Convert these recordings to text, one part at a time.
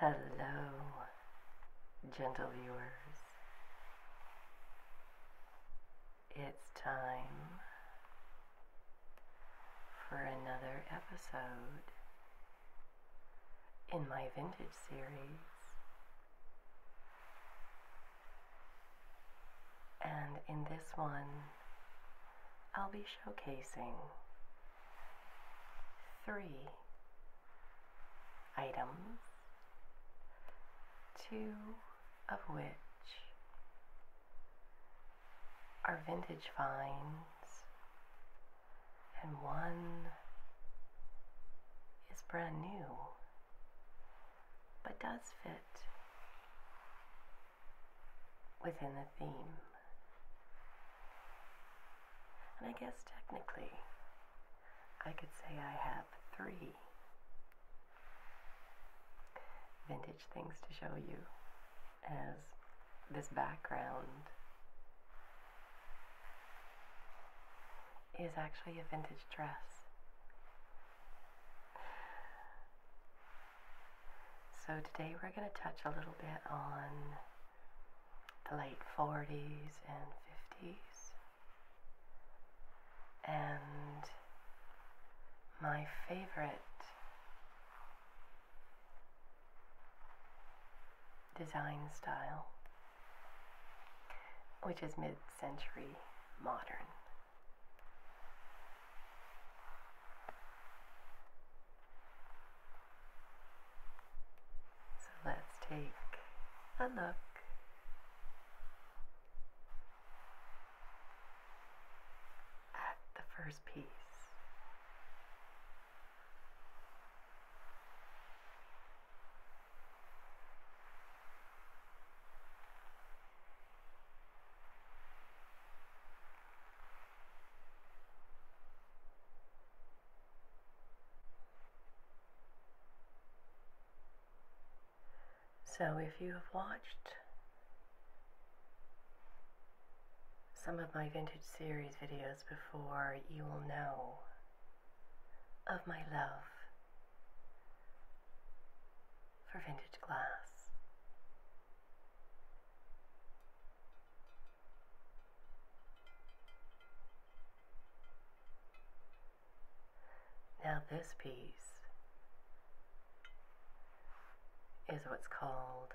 Hello, gentle viewers. It's time for another episode in my vintage series. And in this one, I'll be showcasing three items, two of which are vintage finds and one is brand new but does fit within the theme. And I guess technically, I could say I have three vintage things to show you as this background is actually a vintage dress. So today we're going to touch a little bit on the late 40s and 50s and my favorite design style which is mid century modern. So let's take a look. at the First piece. So, if you have watched some of my vintage series videos before, you will know of my love for vintage glass. Now, this piece is what's called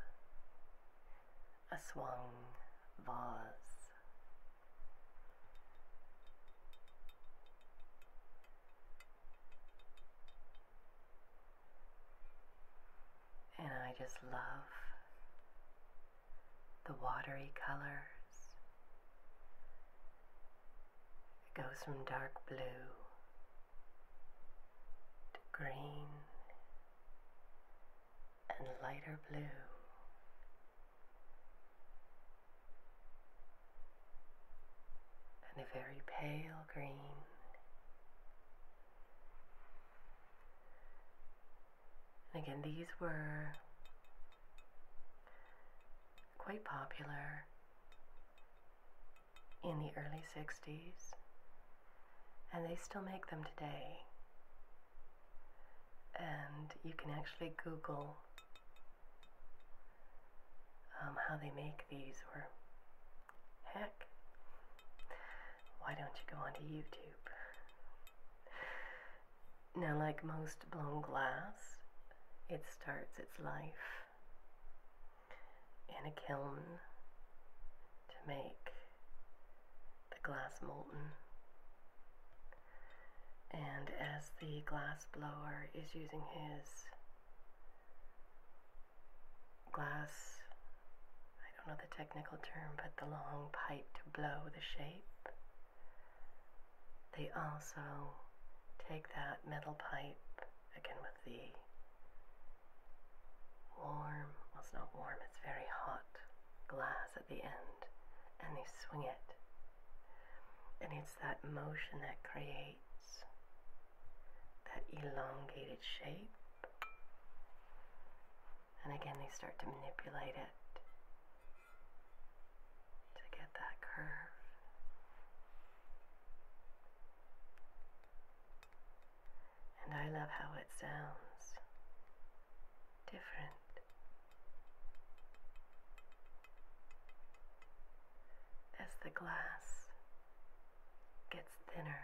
a swung vase. And I just love the watery colors. It goes from dark blue to green and lighter blue. And a very pale green. And again, these were quite popular in the early 60s, and they still make them today and you can actually Google um, how they make these, or heck, why don't you go onto YouTube? Now, like most blown glass, it starts its life in a kiln to make the glass molten. And as the glass blower is using his glass, I don't know the technical term, but the long pipe to blow the shape, they also take that metal pipe, again with the warm, well, it's not warm, it's very hot glass at the end and they swing it. And it's that motion that creates that elongated shape. And again, they start to manipulate it to get that curve. And I love how it sounds different as the glass gets thinner.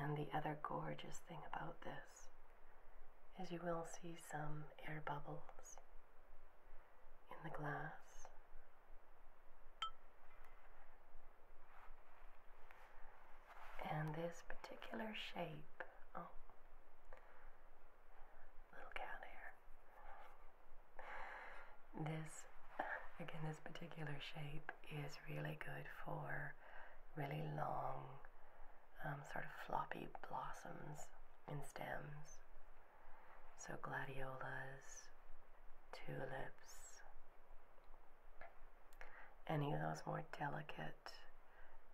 And the other gorgeous thing about this is you will see some air bubbles in the glass. And this particular shape, oh, little cat hair. This, again, this particular shape is really good for really long, um, sort of floppy blossoms and stems. So gladiolas, tulips, any of those more delicate,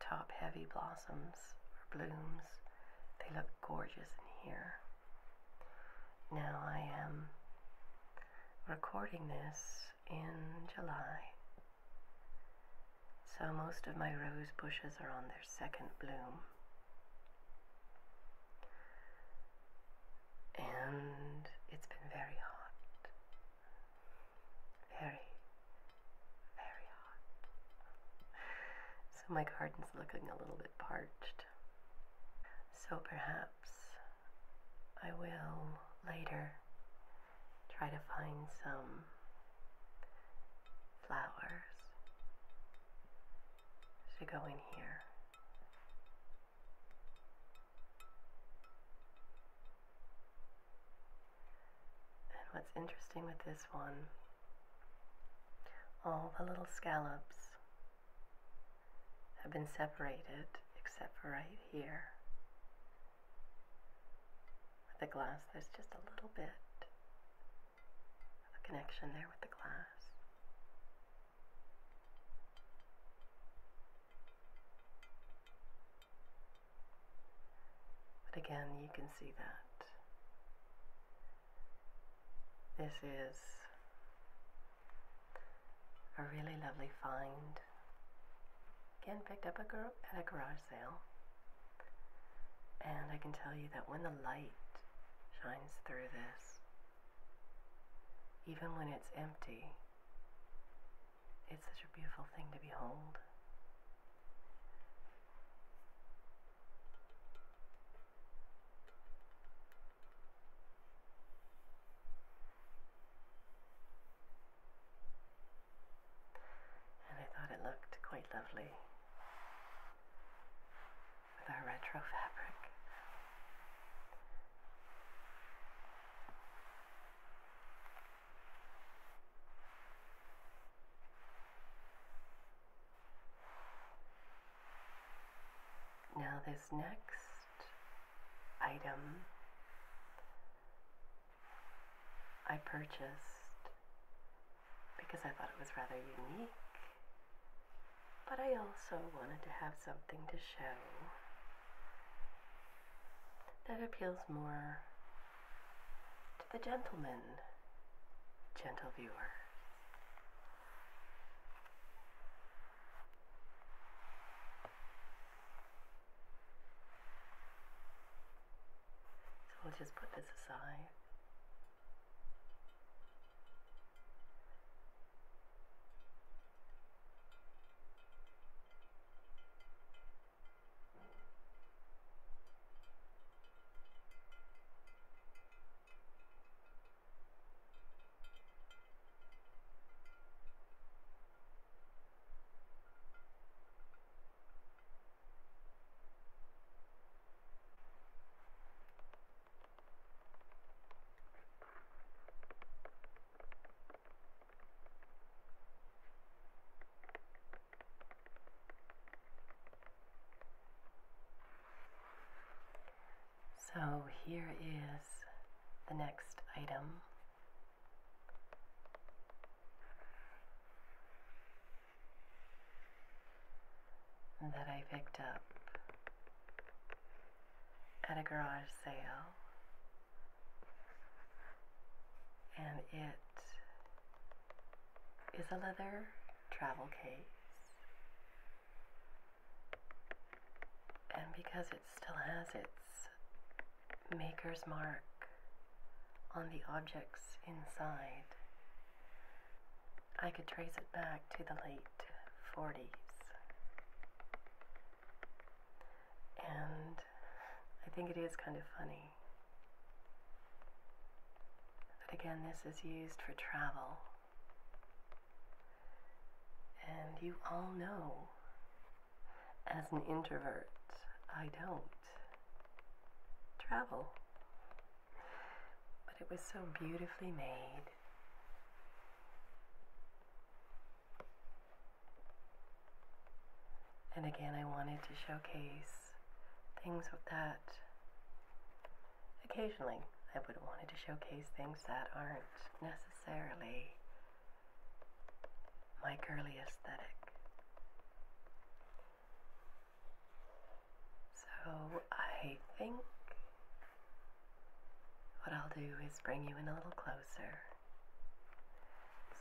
top heavy blossoms or blooms, they look gorgeous in here. Now I am recording this in July. So most of my rose bushes are on their second bloom. And it's been very hot. Very, very hot. So my garden's looking a little bit parched. So perhaps I will later try to find some flowers to go in here. And what's interesting with this one, all the little scallops have been separated except for right here. With the glass, there's just a little bit of a connection there with the glass. But again, you can see that this is a really lovely find. Again, picked up a gar at a garage sale. And I can tell you that when the light shines through this, even when it's empty, it's such a beautiful thing to behold. And I thought it looked quite lovely with our retro fabric. Now, this next item I purchased because I thought it was rather unique, but I also wanted to have something to show that appeals more to the gentleman, gentle viewers. So we'll just put this aside. So here is the next item. That I picked up at a garage sale, and it is a leather travel case and because it still has its maker's mark on the objects inside, I could trace it back to the late 40s. And I think it is kind of funny but again this is used for travel and you all know, as an introvert, I don't travel. But it was so beautifully made. And again, I wanted to showcase things that occasionally I would have wanted to showcase things that aren't necessary necessarily my girly aesthetic. So I think what I'll do is bring you in a little closer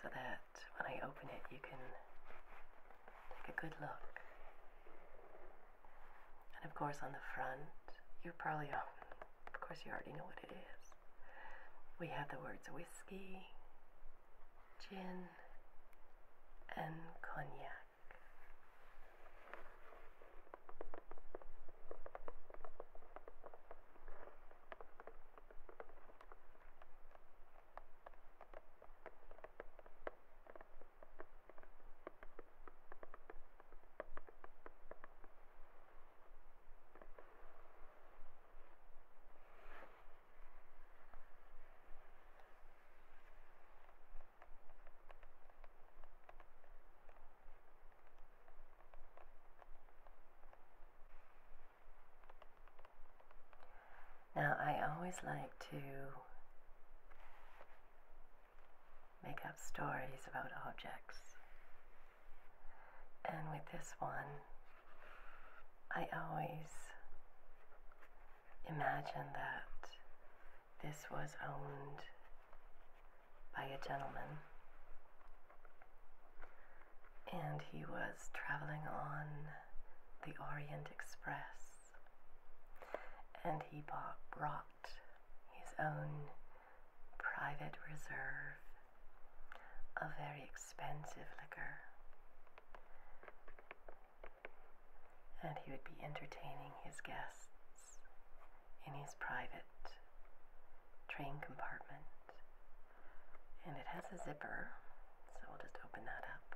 so that when I open it, you can take a good look. And of course, on the front, you're probably, oh, Of course, you already know what it is. We have the words whiskey, gin, and cognac. Now, I always like to make up stories about objects. And with this one, I always imagine that this was owned by a gentleman. And he was traveling on the Orient Express. And he bought, brought his own private reserve, a very expensive liquor. And he would be entertaining his guests in his private train compartment. And it has a zipper, so we'll just open that up.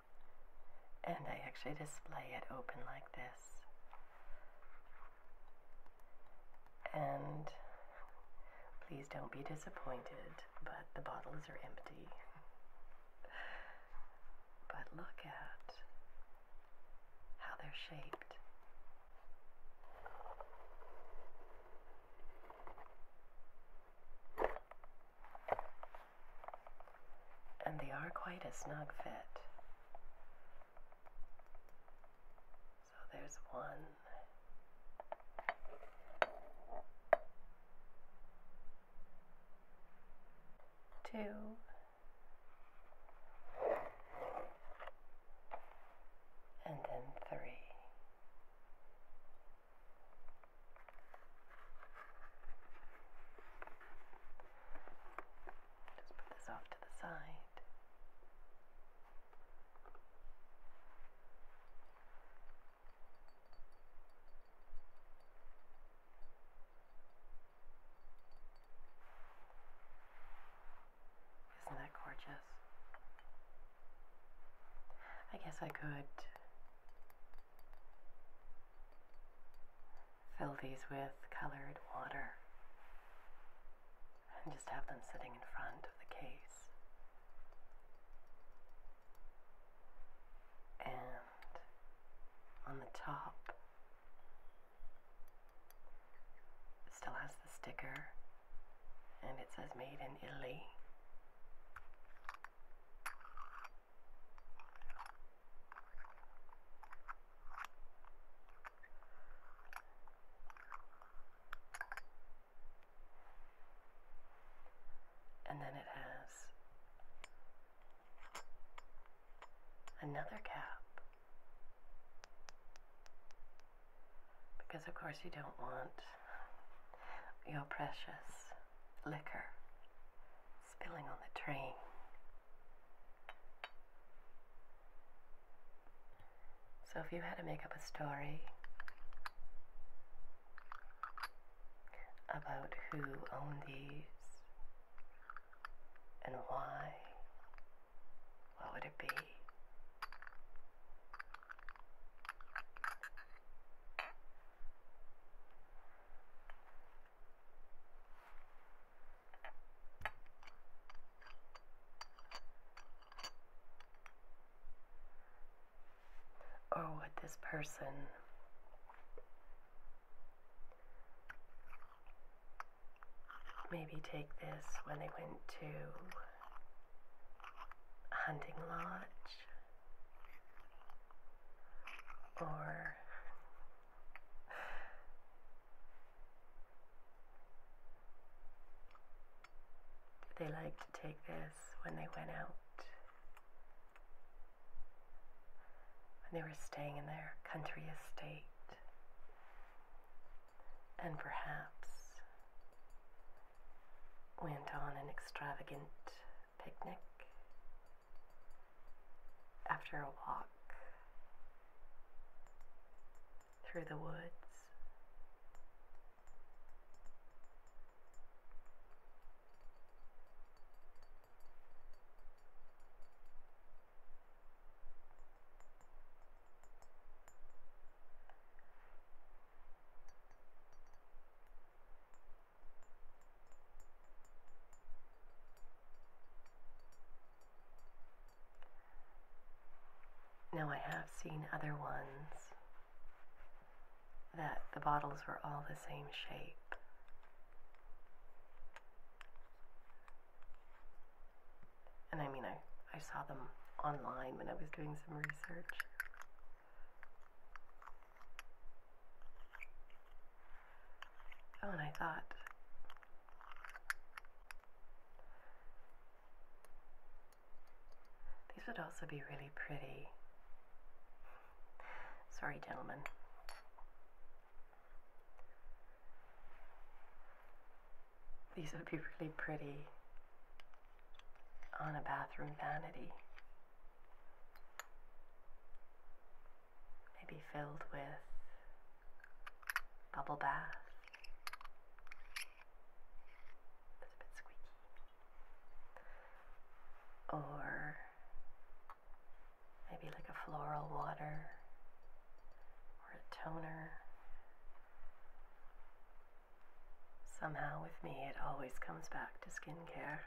And I actually display it open like this. And please don't be disappointed, but the bottles are empty. but look at how they're shaped. And they are quite a snug fit. So there's one. Two. And then three. Just put this off to the side. Isn't that gorgeous? I guess I could Fill these with colored water and just have them sitting in front of the case. And on the top, still has the sticker and it says made in Italy. And then it has another cap. Because, of course, you don't want your precious liquor spilling on the train. So, if you had to make up a story about who owned these and why, what would it be? Or oh, would this person maybe take this when they went to a hunting lodge? or they like to take this when they went out? When they were staying in their country estate? And perhaps went on an extravagant picnic, after a walk through the woods. Now, I have seen other ones that the bottles were all the same shape. And I mean, I, I saw them online when I was doing some research. Oh, and I thought. These would also be really pretty. Sorry, gentlemen. These would be really pretty on a bathroom vanity maybe filled with bubble bath. That's a bit squeaky. Or maybe like a floral water or a toner. Somehow, with me, it always comes back to skincare.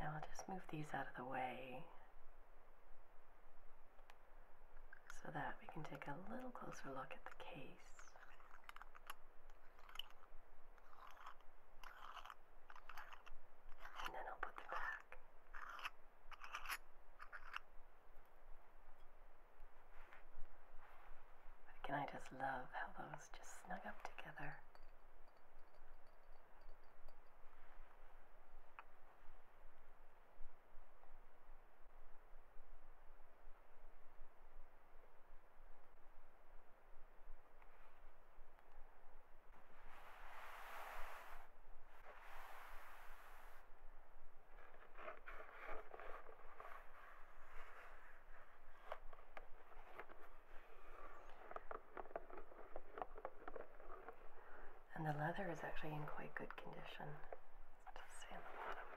Now I'll just move these out of the way so that we can take a little closer look at the case. And then I'll put them can I just love how those just snug up together? And the leather is actually in quite good condition. Just see on the bottom.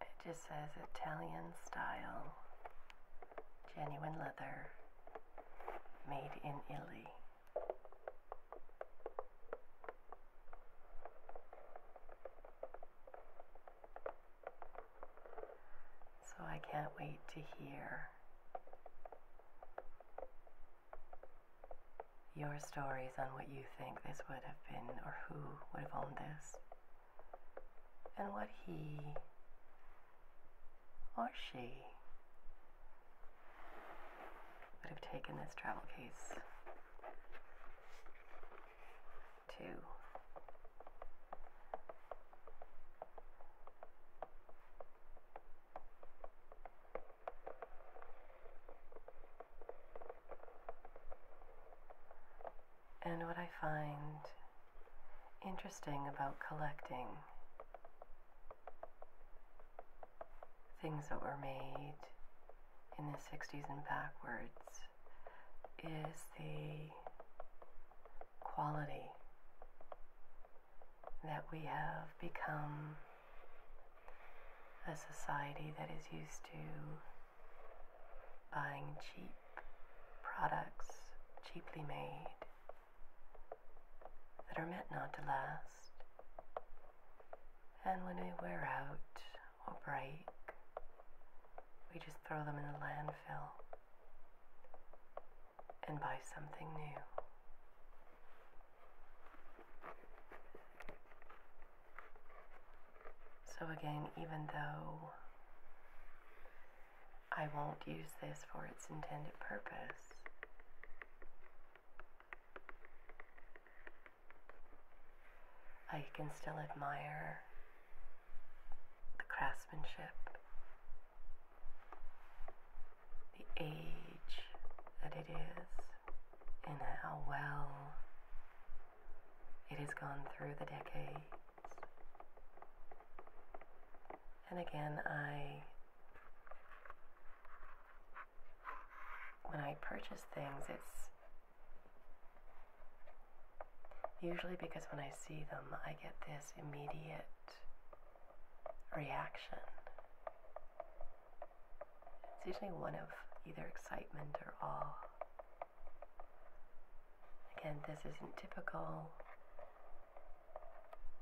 It just says Italian style Genuine leather made in Italy. So I can't wait to hear your stories on what you think this would have been or who would have owned this and what he or she would have taken this travel case to. And what I find interesting about collecting things that were made in the 60s and backwards is the quality that we have become a society that is used to buying cheap products cheaply made that are meant not to last. And when they wear out or break, we just throw them in the landfill and buy something new. So, again, even though I won't use this for its intended purpose. I can still admire the craftsmanship, the age that it is, and how well it has gone through the decades. And again, I when I purchase things, it's usually because when I see them, I get this immediate reaction. It's usually one of either excitement or awe. Again, this isn't typical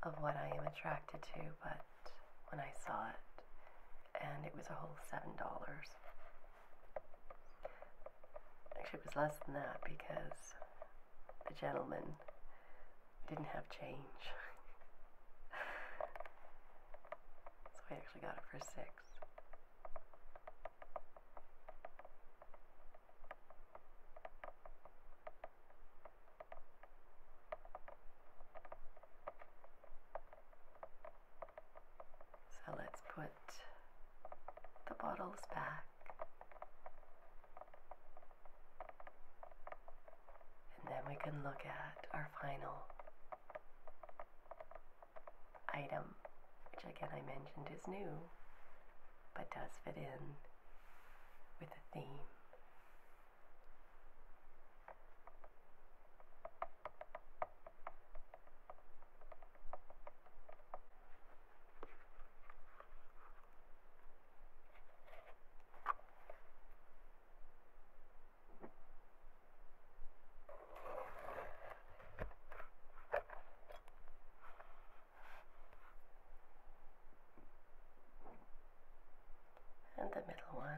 of what I am attracted to, but when I saw it, and it was a whole $7. Actually, it was less than that because the gentleman didn't have change. so I actually got it for six. So let's put the bottles back and then we can look at our final item, which again I mentioned is new but does fit in with the theme and the middle one.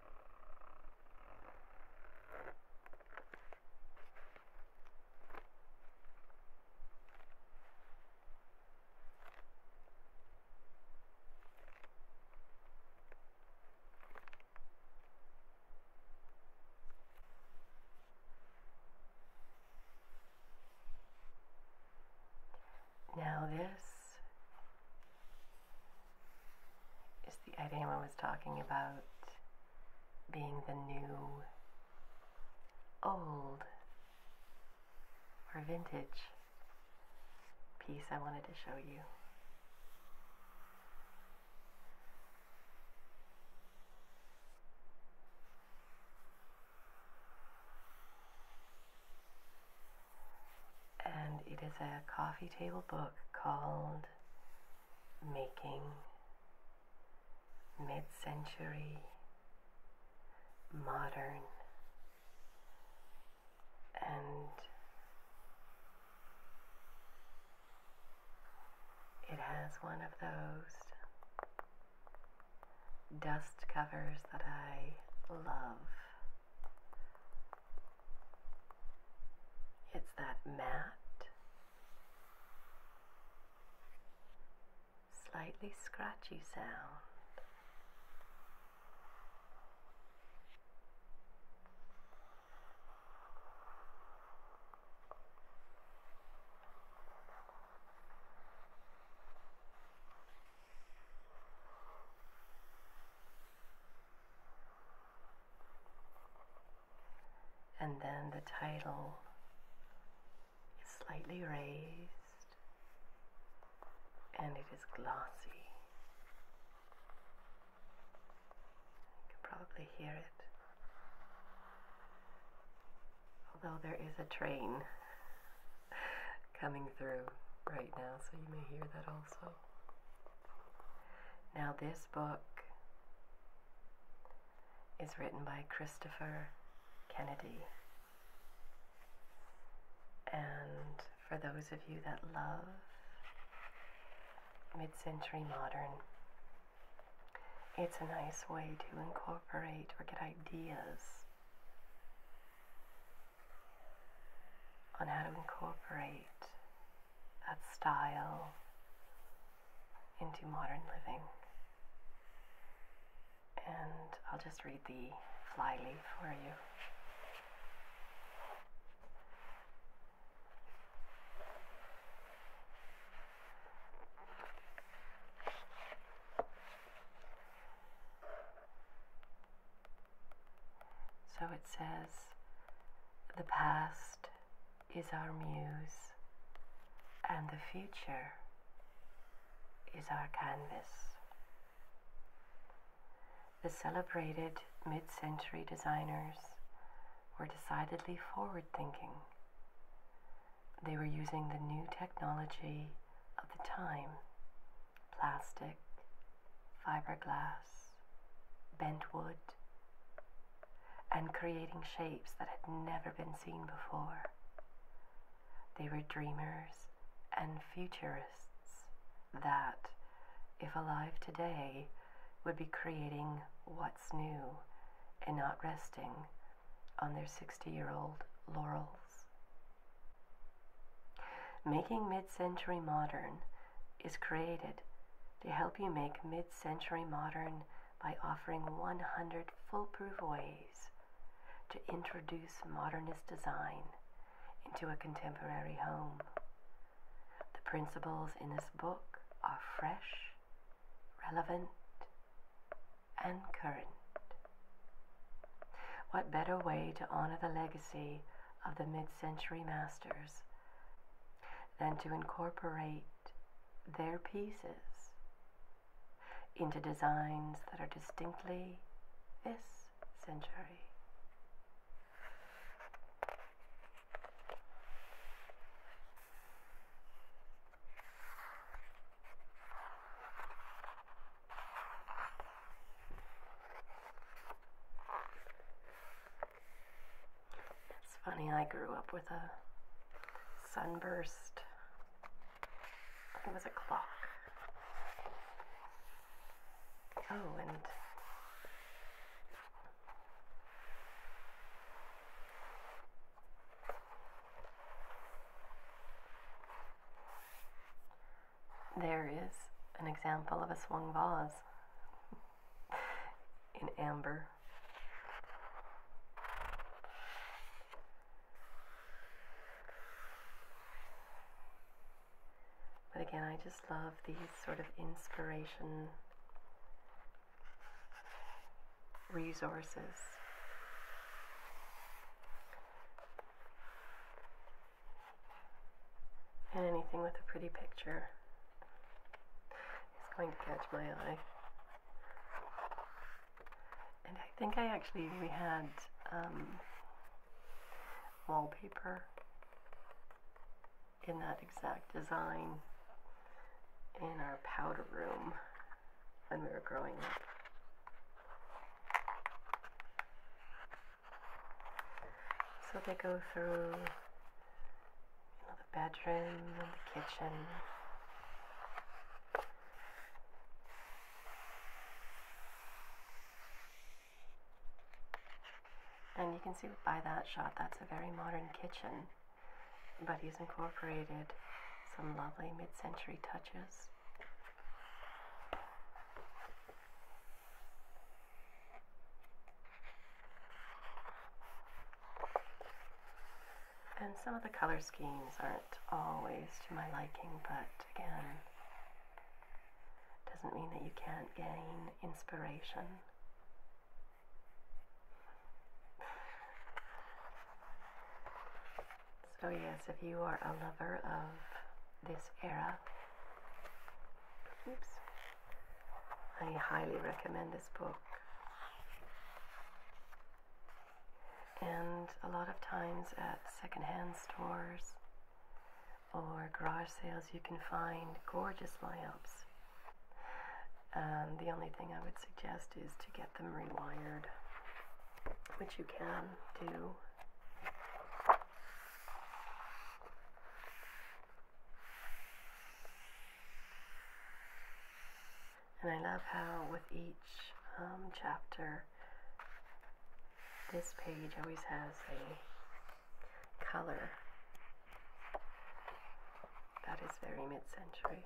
Now, this is the item I was talking about being the new old or vintage piece I wanted to show you and it is a coffee table book called Making Mid Century Modern. And it has one of those dust covers that I love. It's that matte, slightly scratchy sound. And then the title is slightly raised and it is glossy. You can probably hear it. Although there is a train coming through right now, so you may hear that also. Now, this book is written by Christopher Kennedy. And for those of you that love mid century modern, it's a nice way to incorporate or get ideas on how to incorporate that style into modern living. And I'll just read the flyleaf for you. So it says the past is our muse, and the future is our canvas. The celebrated mid century designers were decidedly forward thinking. They were using the new technology of the time plastic, fiberglass, glass, bent wood, and creating shapes that had never been seen before. They were dreamers and futurists that, if alive today, would be creating what's new and not resting on their 60 year old laurels. Making mid century modern is created to help you make mid century modern by offering 100 foolproof ways to introduce modernist design into a contemporary home. The principles in this book are fresh, relevant, and current. What better way to honor the legacy of the mid century masters than to incorporate their pieces into designs that are distinctly this century. It's funny, I grew up with a sunburst. It was a clock. Oh, and there is an example of a swung vase in amber. But again, I just love these sort of inspiration resources. And anything with a pretty picture is going to catch my eye. And I think I actually we had um, wallpaper in that exact design in our powder room when we were growing up. So they go through you know, the bedroom and the kitchen. And you can see by that shot, that's a very modern kitchen, but he's incorporated some lovely mid-century touches. And some of the color schemes aren't always to my liking, but again, doesn't mean that you can't gain inspiration. So, yes, if you are a lover of this era, Oops. I highly recommend this book. And a lot of times at secondhand stores or garage sales, you can find gorgeous lamps. And um, the only thing I would suggest is to get them rewired, which you can do. And I love how with each um, chapter, this page always has a color that is very mid-century.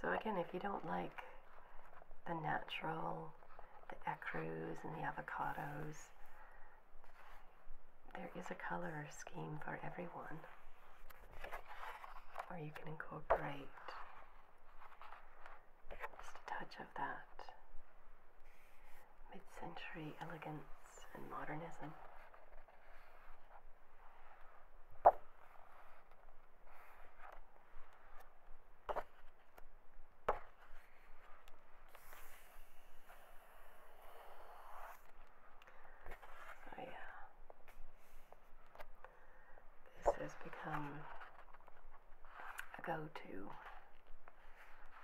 So again, if you don't like the natural, the ecrus and the avocados, there is a color scheme for everyone. Or you can incorporate just a touch of that mid-century elegance and modernism. So oh, yeah, this has become a go-to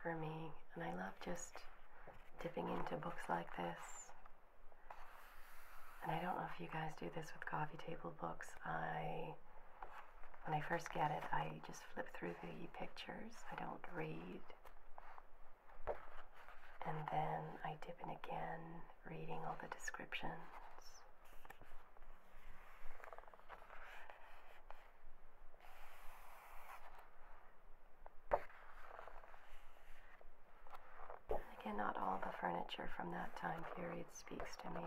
for me, and I love just dipping into books like this and I don't know if you guys do this with coffee table books. I, when I first get it, I just flip through the pictures. I don't read. And then I dip in again, reading all the descriptions. Again, not all the furniture from that time period speaks to me.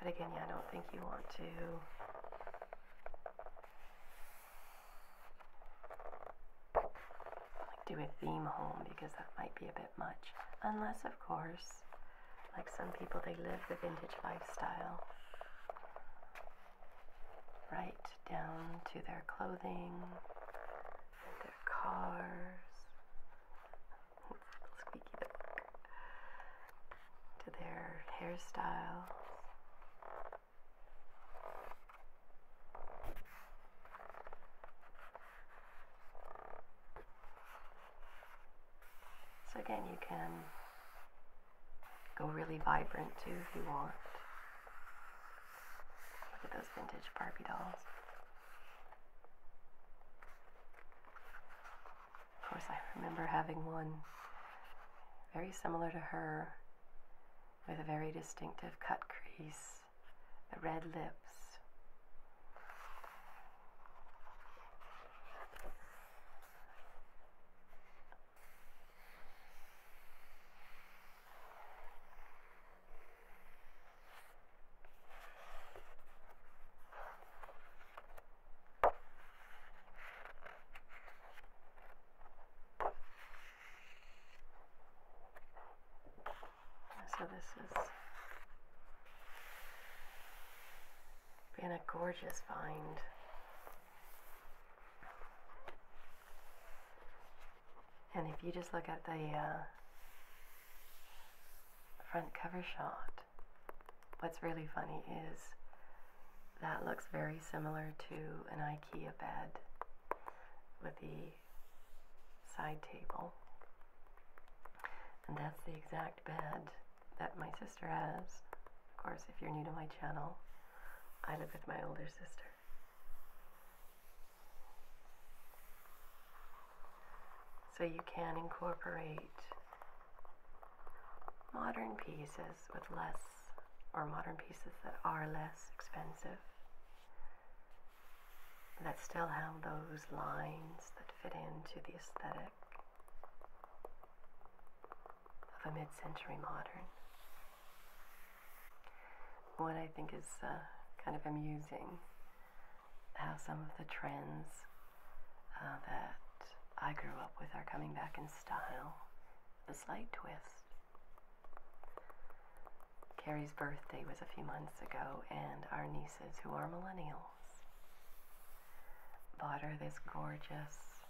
But again, yeah, I don't think you want to do a theme home because that might be a bit much. Unless, of course, like some people, they live the vintage lifestyle, right? down to their clothing, their cars, to their hairstyles. So again, you can go really vibrant too if you want. Look at those vintage Barbie dolls. Of course, I remember having one very similar to her with a very distinctive cut crease, the red lips. So this has been a gorgeous find. And if you just look at the uh, front cover shot, what's really funny is that looks very similar to an IKEA bed with the side table. And that's the exact bed that my sister has. Of course, if you're new to my channel, I live with my older sister. So you can incorporate modern pieces with less, or modern pieces that are less expensive, that still have those lines that fit into the aesthetic of a mid century modern what I think is uh, kind of amusing how some of the trends uh, that I grew up with are coming back in style. A slight twist. Carrie's birthday was a few months ago, and our nieces, who are millennials, bought her this gorgeous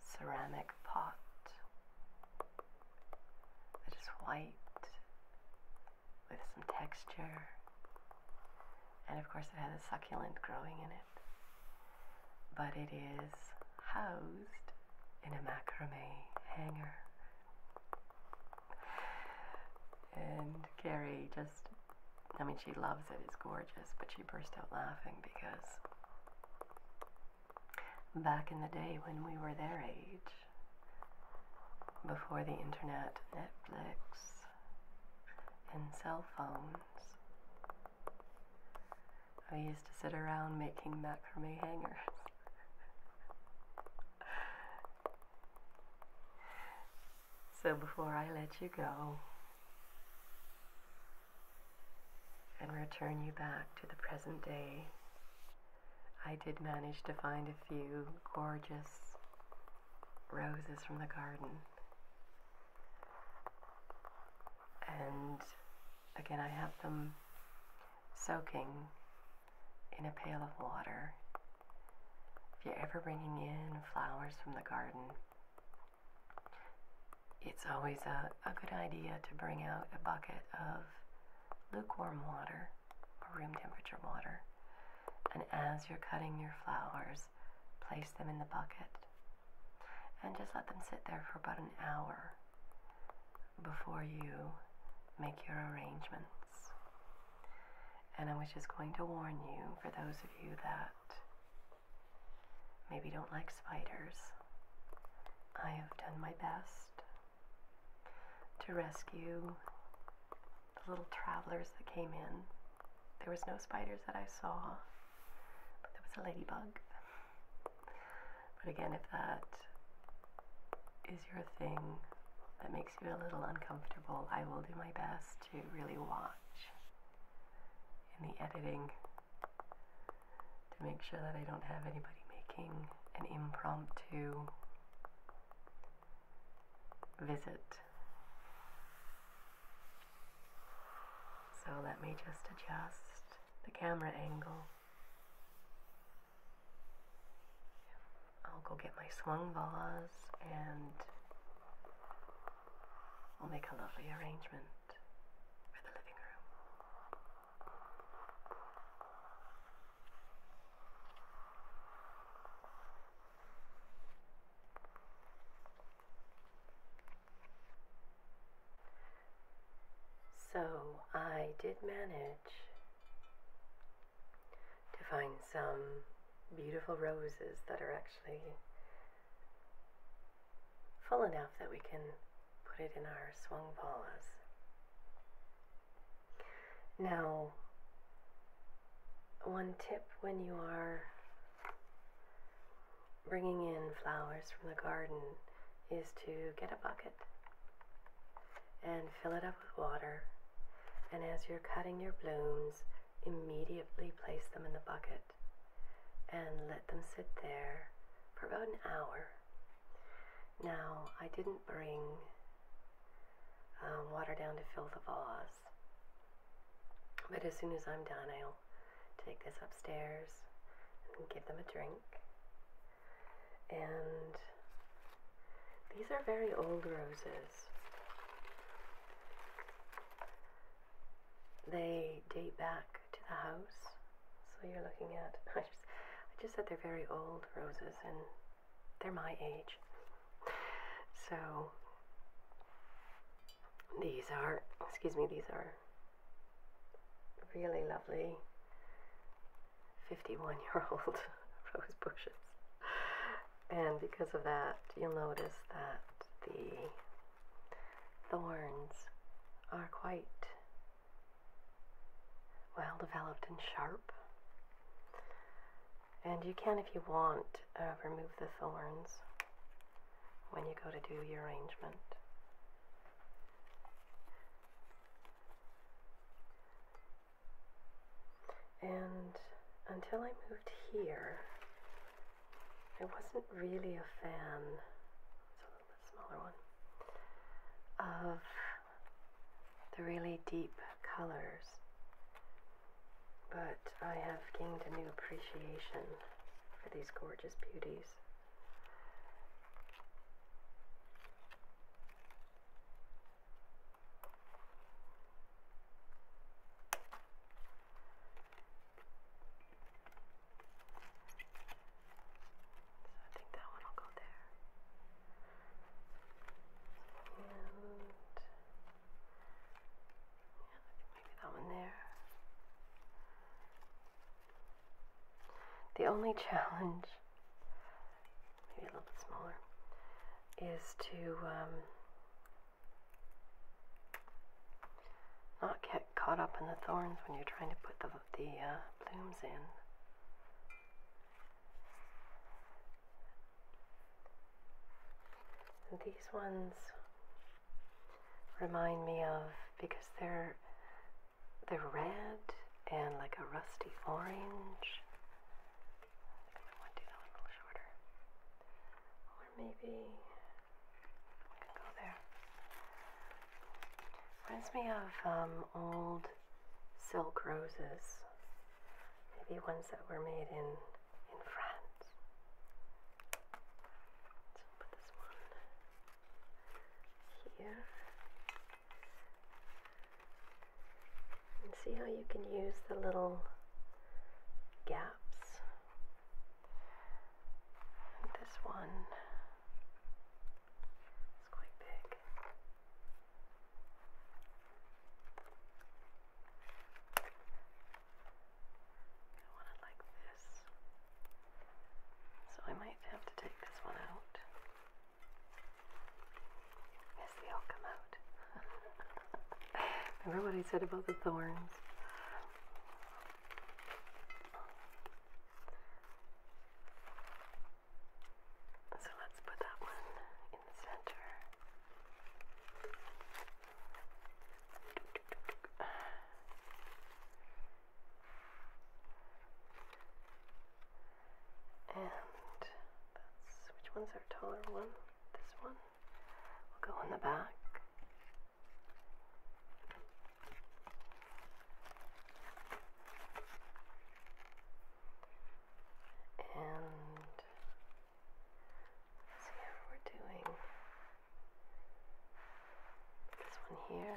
ceramic pot it is white with some texture. And of course, it has a succulent growing in it. But it is housed in a macrame hanger. And Carrie just, I mean, she loves it, it's gorgeous, but she burst out laughing because back in the day when we were their age, before the internet, Netflix, and cell phones. I used to sit around making macrame hangers. so before I let you go, and return you back to the present day. I did manage to find a few gorgeous roses from the garden. And again, I have them soaking in a pail of water. If you're ever bringing in flowers from the garden, it's always a, a good idea to bring out a bucket of lukewarm water or room temperature water. And as you're cutting your flowers, place them in the bucket and just let them sit there for about an hour before you make your arrangements. And I was just going to warn you, for those of you that maybe don't like spiders. I have done my best to rescue the little travelers that came in. There was no spiders that I saw, but there was a ladybug. But again, if that is your thing that makes you a little uncomfortable, I will do my best to really watch in the editing to make sure that I don't have anybody making an impromptu visit. So let me just adjust the camera angle. I'll go get my swung vase and we'll make a lovely arrangement for the living room. So I did manage to find some beautiful roses that are actually full enough that we can put it in our swung paws. Now, one tip when you are bringing in flowers from the garden is to get a bucket and fill it up with water. And as you're cutting your blooms, immediately place them in the bucket and let them sit there for about an hour now, I didn't bring uh, water down to fill the vase, but as soon as I'm done, I'll take this upstairs and give them a drink. And these are very old roses. They date back to the house. So you're looking at, I just, I just said they're very old roses and they're my age. So these are, excuse me, these are really lovely 51 year old rose bushes. And because of that, you'll notice that the thorns are quite well developed and sharp. And you can, if you want, uh, remove the thorns when you go to do your arrangement. And until I moved here, I wasn't really a fan smaller one, of the really deep colors. But I have gained a new appreciation for these gorgeous beauties. So I think that one will go there. And yeah, maybe that one there. The only challenge, maybe a little bit smaller, is to um, not get caught up in the thorns when you're trying to put the the blooms uh, in. these ones remind me of because they're they're red and like a rusty orange. maybe I can go there. Reminds me of um, old silk roses, maybe ones that were made in in France. put this one here, and see how you can use the little gaps. And this one. It's quite big. I want it like this. So I might have to take this one out. Yes, they all come out. Remember what I said about the thorns? So let's put that one in the center. And that's which one's our taller one? This one. will go in the back. And see how we're doing. This one here.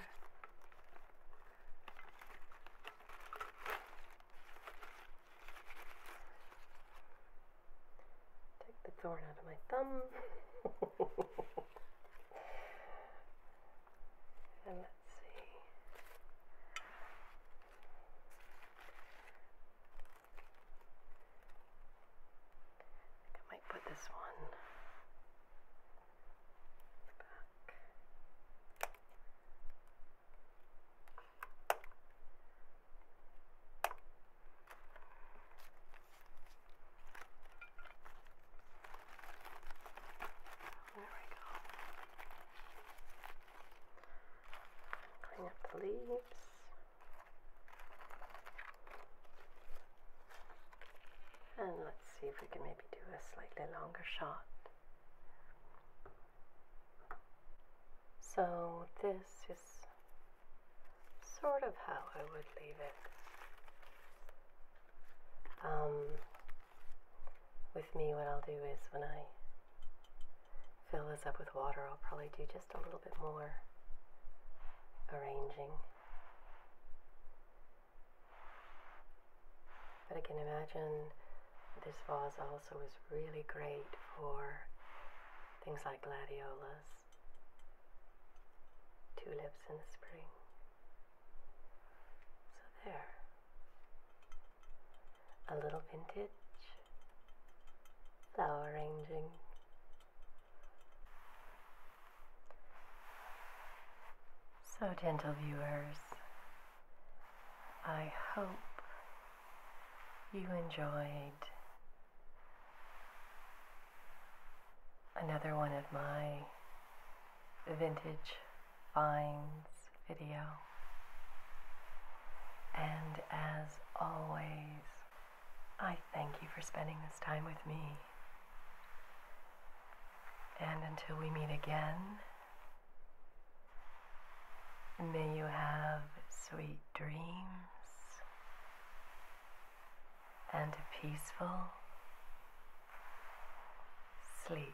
Take the thorn out of my thumb. And let's see. I, might put this one back. There we go. Clean up the leaves. And let's see if we can maybe do a slightly longer shot. So this is sort of how I would leave it. Um, with me, what I'll do is when I fill this up with water, I'll probably do just a little bit more arranging. But I can imagine this vase also is really great for things like gladiolas, tulips in the spring. So there. A little vintage flower arranging. So, gentle viewers, I hope you enjoyed another one of my vintage finds video. And as always, I thank you for spending this time with me. And until we meet again, may you have sweet dreams and a peaceful sleep.